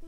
Hi.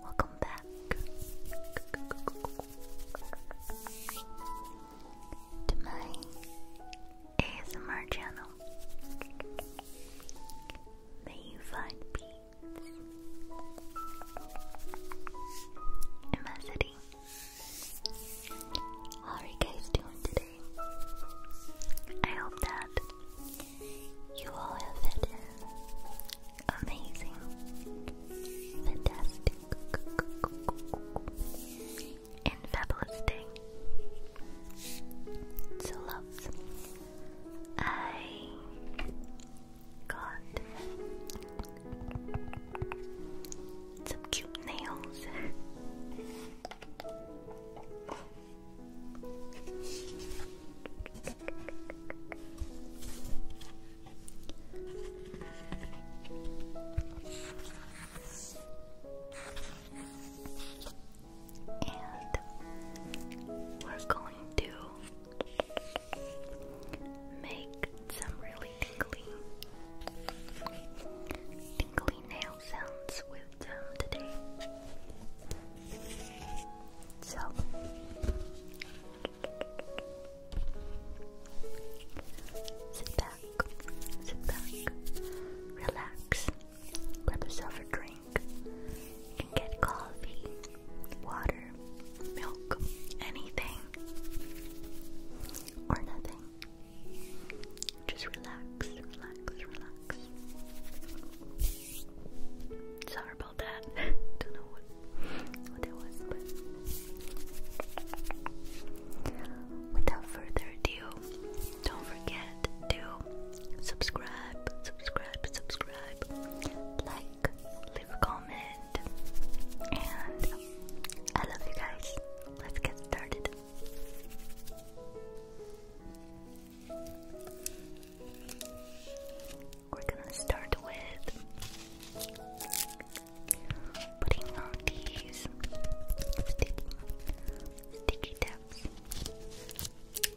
Welcome back. To my ASMR channel. May you find peace, immensity. How are you guys doing today? I hope that you all have had amazing, fantastic, and fabulous So, loves, I got some cute nails and we're going to make some really tingly, tingly nail sounds with them today. So, sit back, sit back, relax, grab yourself a drink. You can get coffee, water, milk, anything, or nothing. Just relax, relax, relax. Sorry about that. Don't know what what that was, but without further ado, don't forget to subscribe, subscribe, subscribe, like, leave a comment, and I love you guys. Let's get started. We're gonna start with putting on these sticky, sticky tabs.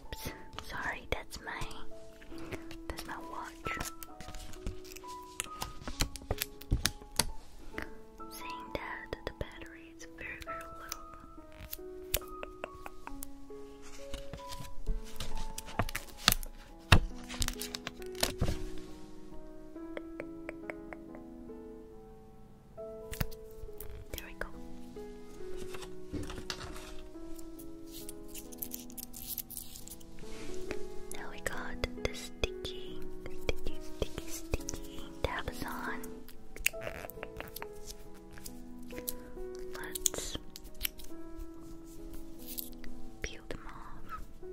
Oops, sorry, that's my that's my watch. Saying that the battery it's very, very low. There we go. Now we got the sticky, sticky, sticky, sticky tabs on. Let's peel them off.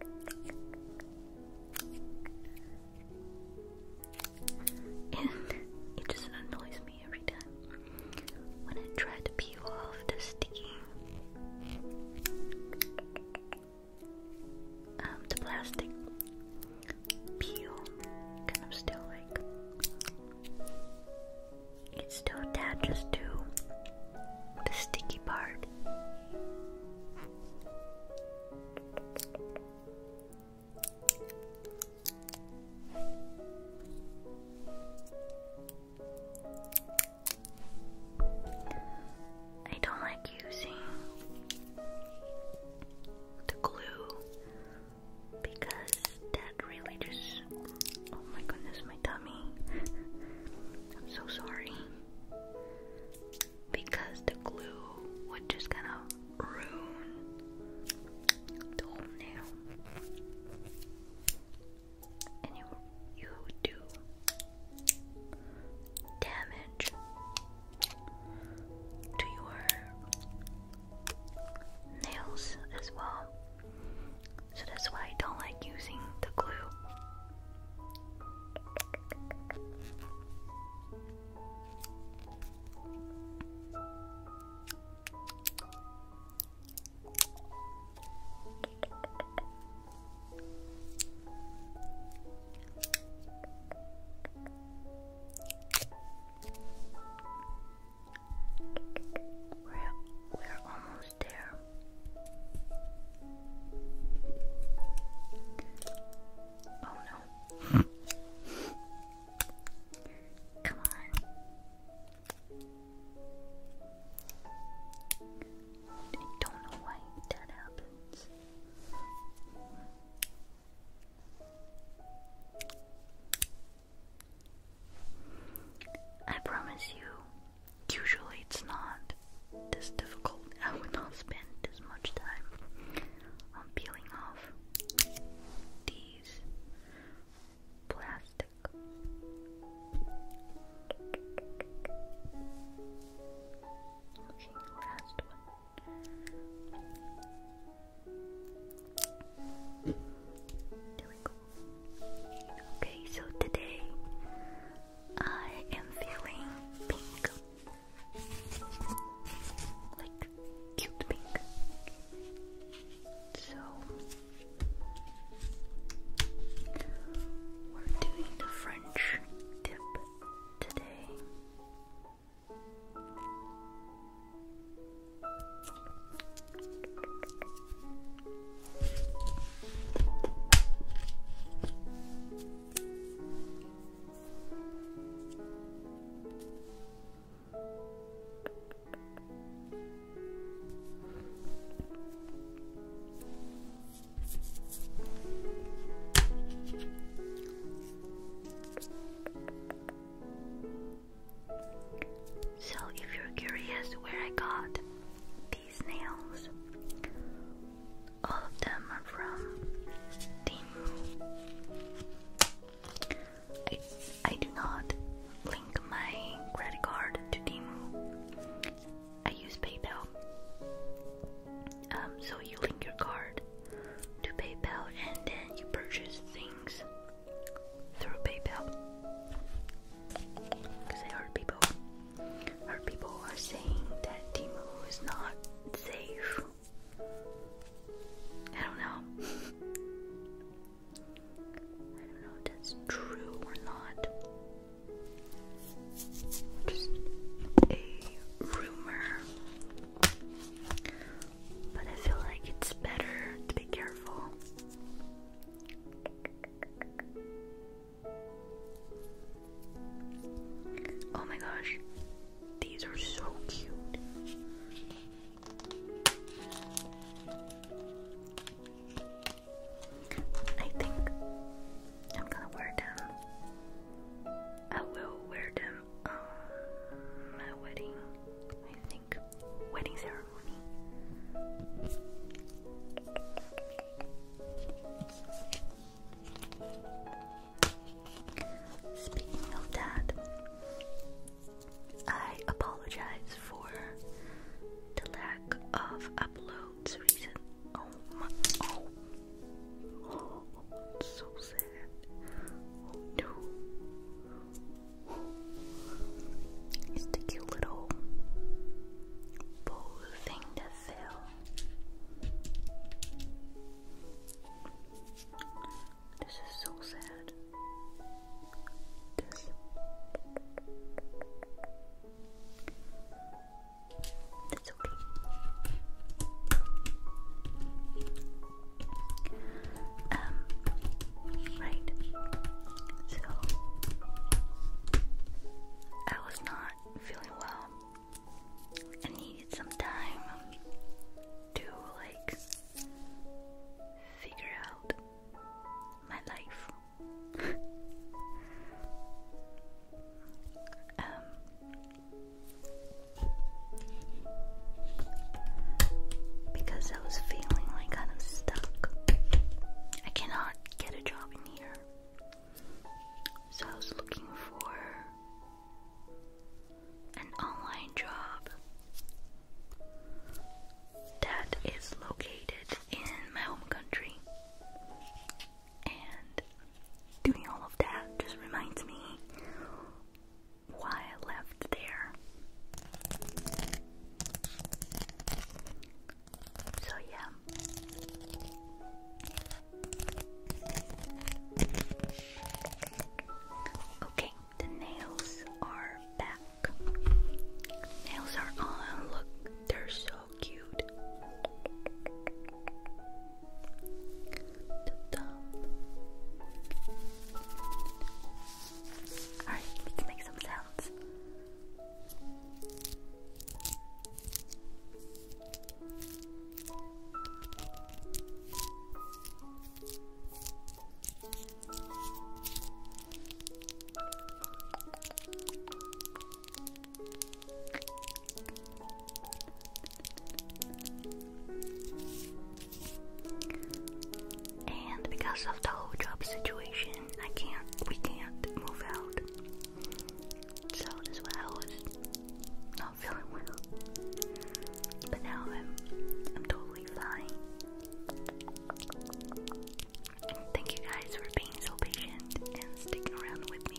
it just annoys me every time when I try to peel off the sticky um, the plastic peel kind of still like it still attaches to the sticky part. I don't like using the glue because that really just oh my goodness my tummy I'm so sorry because the glue would just kind of ruin the whole nail. And you you do damage to your nails as well. So that's why I don't like using the glue. We're we're almost there. Oh no. Come on. I don't know why that happens. I promise you, usually it's not this difficult, I would not spend this much time on peeling off these plastic. Okay, so today I am feeling pink, like cute pink. So we're doing the French dip today. So, if you're curious where I got these nails. All of them are from Timu. I, I do not link my credit card to Timu. I use PayPal. Um, so you link your card to PayPal and then you purchase things through PayPal. Because I heard people people are saying that Timu is not safe. I don't know. I don't know if that's true or not. Just a rumor. But I feel like it's better to be careful. Oh my gosh, these are so cute. I think I'm gonna wear them. I will wear them on my wedding, I think. Wedding ceremony. Speaking of that, I apologize for the lack of uploads recent. Oh my! Oh, so sad. Oh it's the cute little bowl thing fill. This is so sad. This. okay. Um, right. So I was not feeling well I needed some time to like figure out my life. Um, because I was feeling like kind of stuck. I cannot get a job in here. So I was looking for an online job that is located in my home country. And doing all of that just reminds me why I left there. So yeah. Okay, the nails are back. Nails are on. Look, they're so cute. Alright, let's make some sounds. And because of the whole job situation, I can't, we can't move out sound as well, and it's not feeling well. But now I'm I'm totally fine. Thank you guys for being so patient and sticking around with me.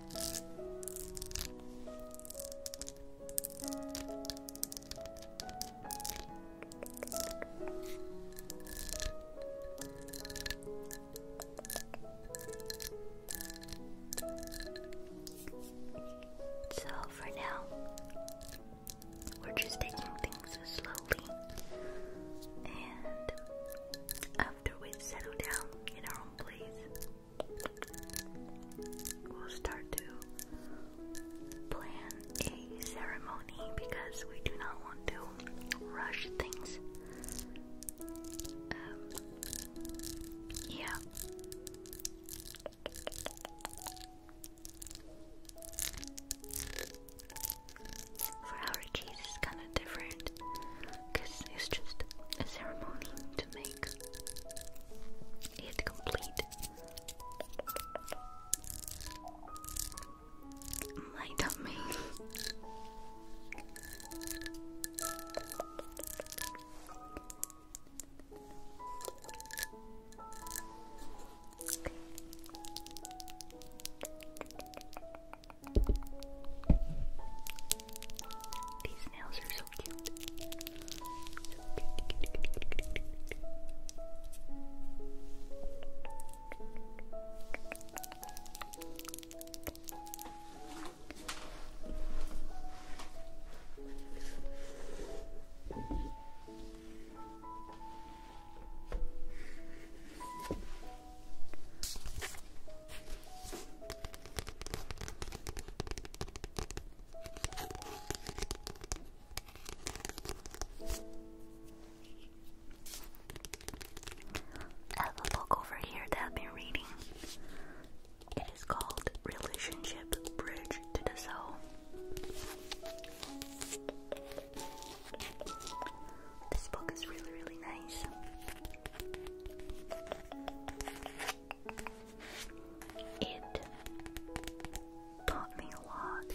So for now, we're just taking things slowly, and after we settle down in our own place, We'll start to plan a ceremony because we do not want to rush things. Um, yeah. For our cheese is different because it's just a ceremony to make it complete. My dummy. These nails are so cute. I have a book over here that I've been reading. It is called Relationship Bridge to the Soul. This book is really, really nice. It taught me a lot.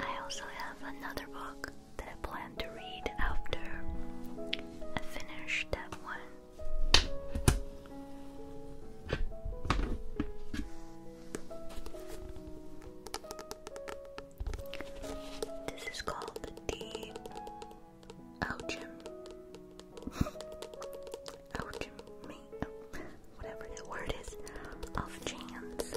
I also have another book that I plan to read after I finish that one. This is called the Elgin. Elgin, me, whatever the word is, of chance.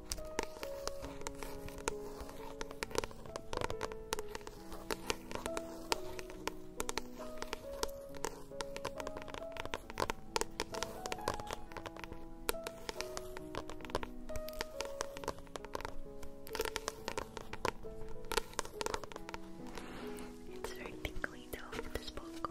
It's very tingly though, this book.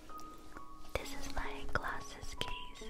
This is my glasses case.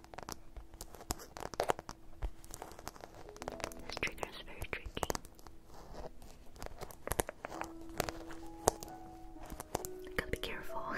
This trigger is very tricky. Gotta be careful.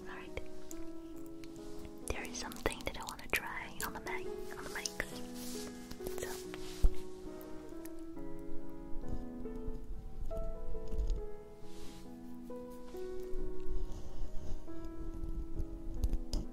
Alright. There is something that I want to try on the mic on the mic. So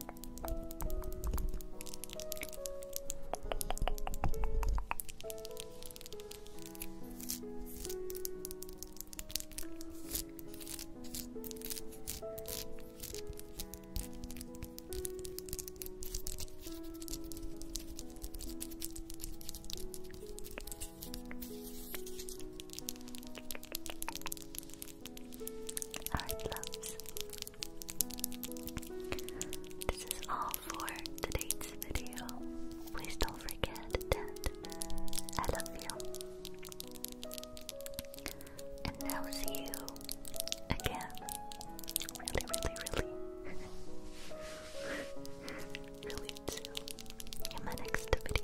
Heart loves this is all for today's video. Please don't forget that I love you. And I'll see you again. Really, really, really. really soon. In my next video.